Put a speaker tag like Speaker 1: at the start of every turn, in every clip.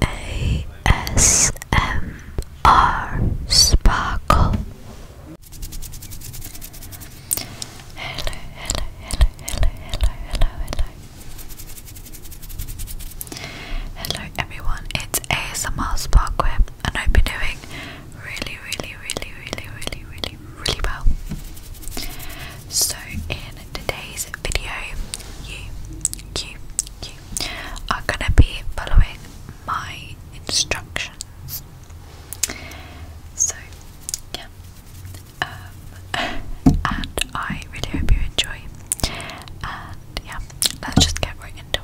Speaker 1: ASMR Sparkle. Hello, hello, hello, hello, hello, hello, hello. Hello everyone, it's ASMR Sparkle and I've been doing really, really, really, really, really, really, really well. So in today's video, you, you, you are going to be following my instructions. So, yeah. Um, and I really hope you enjoy. And yeah, let's just get right into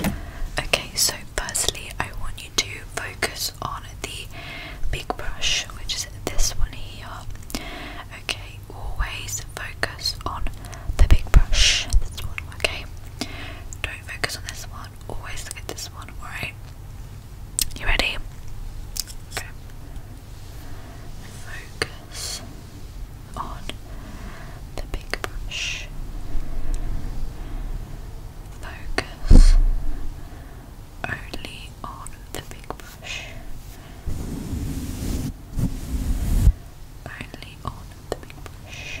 Speaker 1: it. Okay, so firstly, I want you to focus on the big brush, which is this one here. Okay, always focus on the big brush. This one, okay? Don't focus on this one, always look at this one, alright? You ready? Okay. Focus on the big brush. Focus only on the big brush. Only on the big brush.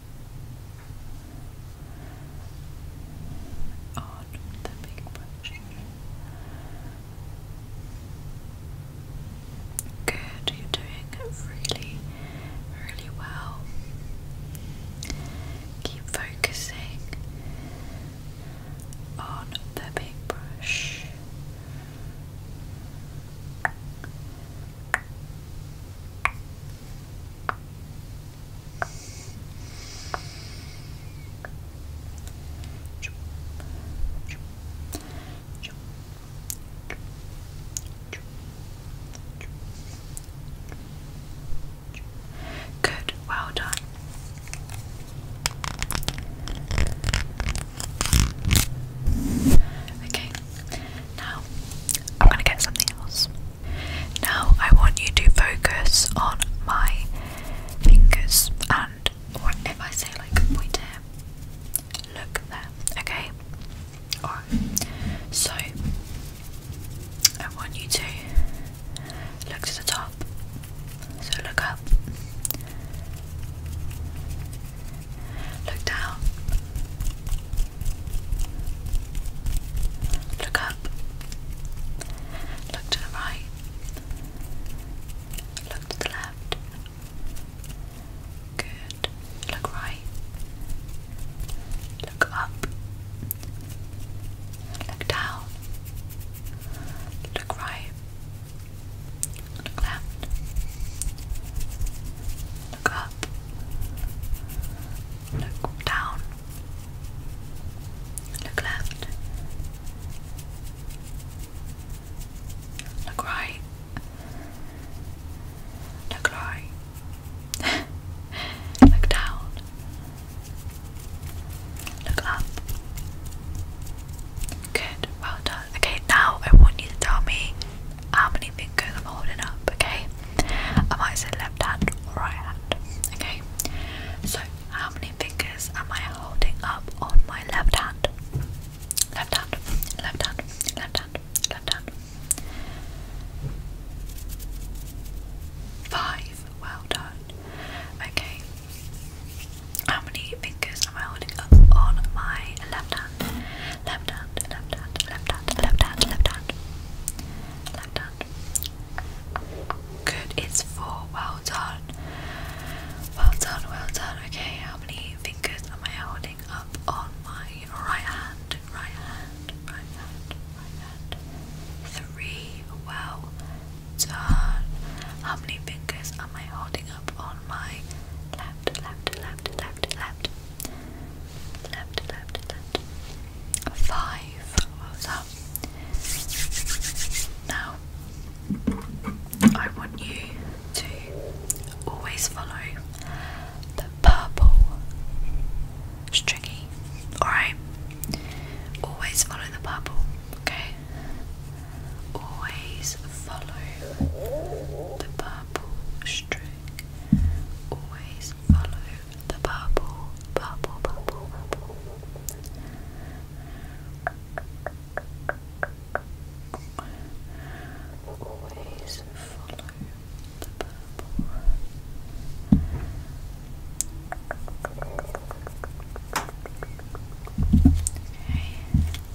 Speaker 1: on the big brush. Good, you're doing really, really well. Keep focusing on the big brush. Good, well done. Okay, now I'm to get something else. Now I want you to focus on my fingers and or I say like point here, look there, okay? Alright. So I want you to look to the top. So look up. Look down. Look up. Look to the right. Look to the left. Good. Look right. Look up. Look down. Look right. Look left. Look Look down. Look left. Look right. Look right. Look down. Look up. Good, well done. Okay, now I want you to tell me how many fingers i holding up, okay? I might left hand or right hand, okay? So, how many fingers am I holding up on my left hand? Left hand, left hand, left hand, left hand. Five, well done. Okay. How many fingers am I holding up on my left hand? left hand, left hand, left hand, left hand, left hand, left hand. Good, it's four. Well done. Well done, well done. Okay, how many fingers am I holding up on my right hand? Right hand, right hand, right hand. Three. Well done. How many fingers am I holding up on my left, left, left, left, left? Left, left, left. Five. What was Now, I want you to always follow the purple stringy. Alright? Always follow the purple, okay? Always follow the purple purple Always follow the bubble, purple, purple, purple. Always follow the purple. Okay.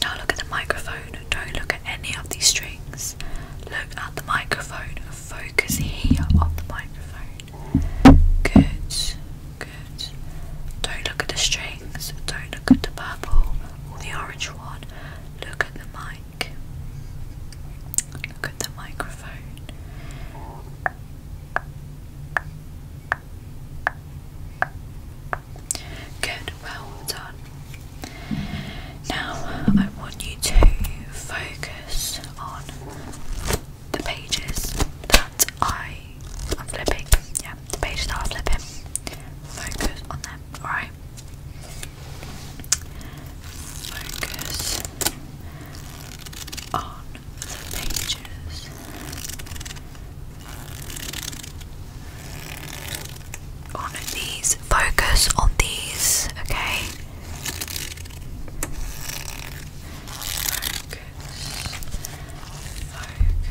Speaker 1: Now look at the microphone, don't look at any of these strings. Look at the microphone, focus here on the microphone. Good, good. Don't look at the strings, don't look at the purple or the orange one. Look at the mic. Look at the microphone. Good, well done. Now I want you to focus on the pages that I am flipping. Yeah, the pages that I'm flipping. Focus on them, alright? Focus on the pages on these, focus on these, okay? Focus, focus, focus.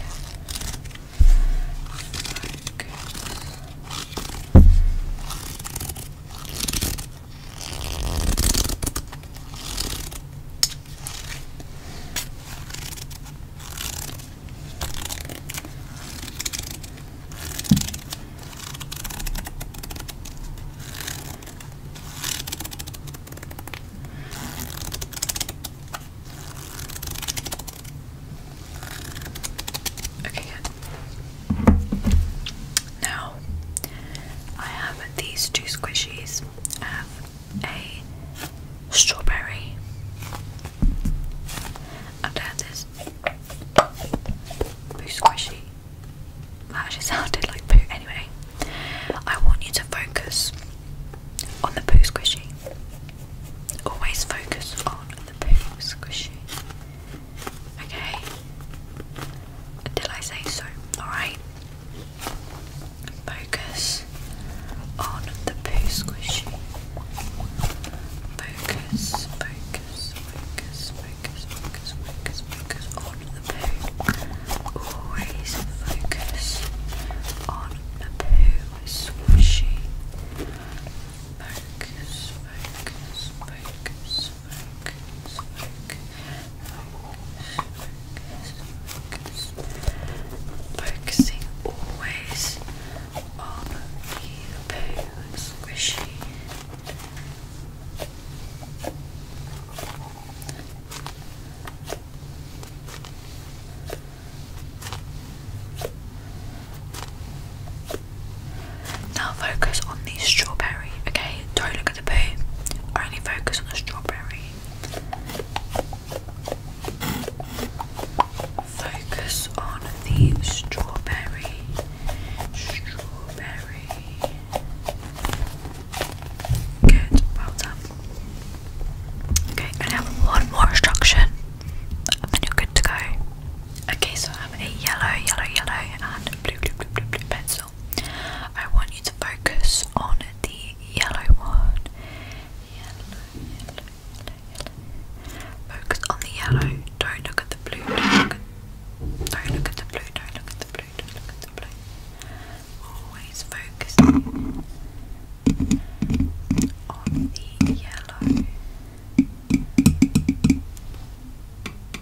Speaker 1: Okay, Now I have these two squishies. have a strawberry. And there's this poo squishy. That actually sounded like poo. Anyway, I want you to focus on the poo squishy. Always focus on the poo squishy. Okay? Until I say so, alright? Focus on the poo squishy. Focus, focus, focus, focus, focus, focus, focus on the poo. Always focus on the poo squishy. Focus, focus, focus, focus, focus focus, focusing always on the poo squishy. Now focus on the strawberry, okay? Don't look Cockatoo, only focus on the strawberry. Focus on the strawberry. Strawberry. Good, well done. Okay, I have one more instruction and you're good to go. Okay, so I have a yellow, yellow, yellow, and blue, blue, blue, blue, blue pencil. I want you to focus on the yellow one. Focus on the yellow. Don't look at the blue. Don't look at, the blue. Don't look at the blue. Don't look at the blue. Always focusing on the yellow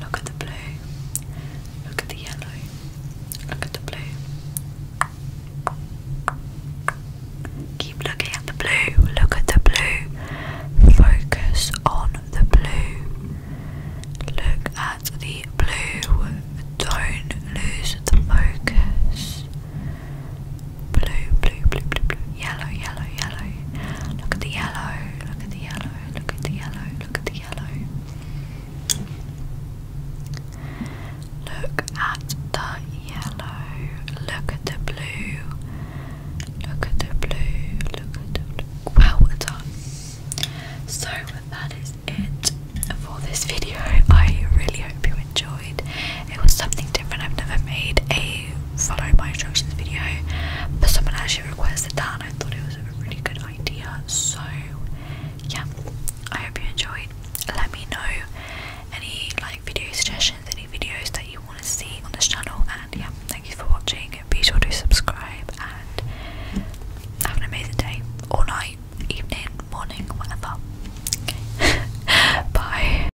Speaker 1: Look at the blue. Look at the yellow. Look at the blue. Keep looking at the blue. Look at the blue. Focus on the blue. Look at the blue. Don't lose the focus. Blue, blue, blue, blue, blue. Yellow, yellow, yellow. Look at the yellow. Look at the yellow look at the yellow, look at the yellow. Look at the yellow, look at the blue, look at the blue, look at the blue. Well done. So that is it for this video. I really hope you enjoyed. It was something different. I've never made a follow my instructions video, but someone actually requested that, I thought it was a really good idea. So, yeah, I hope you enjoyed. Let me know any like video suggestions, any videos that you want to see on this channel, and yeah, thank you for watching. Be sure to subscribe and have an amazing day, all night, evening, morning, whatever. Bye.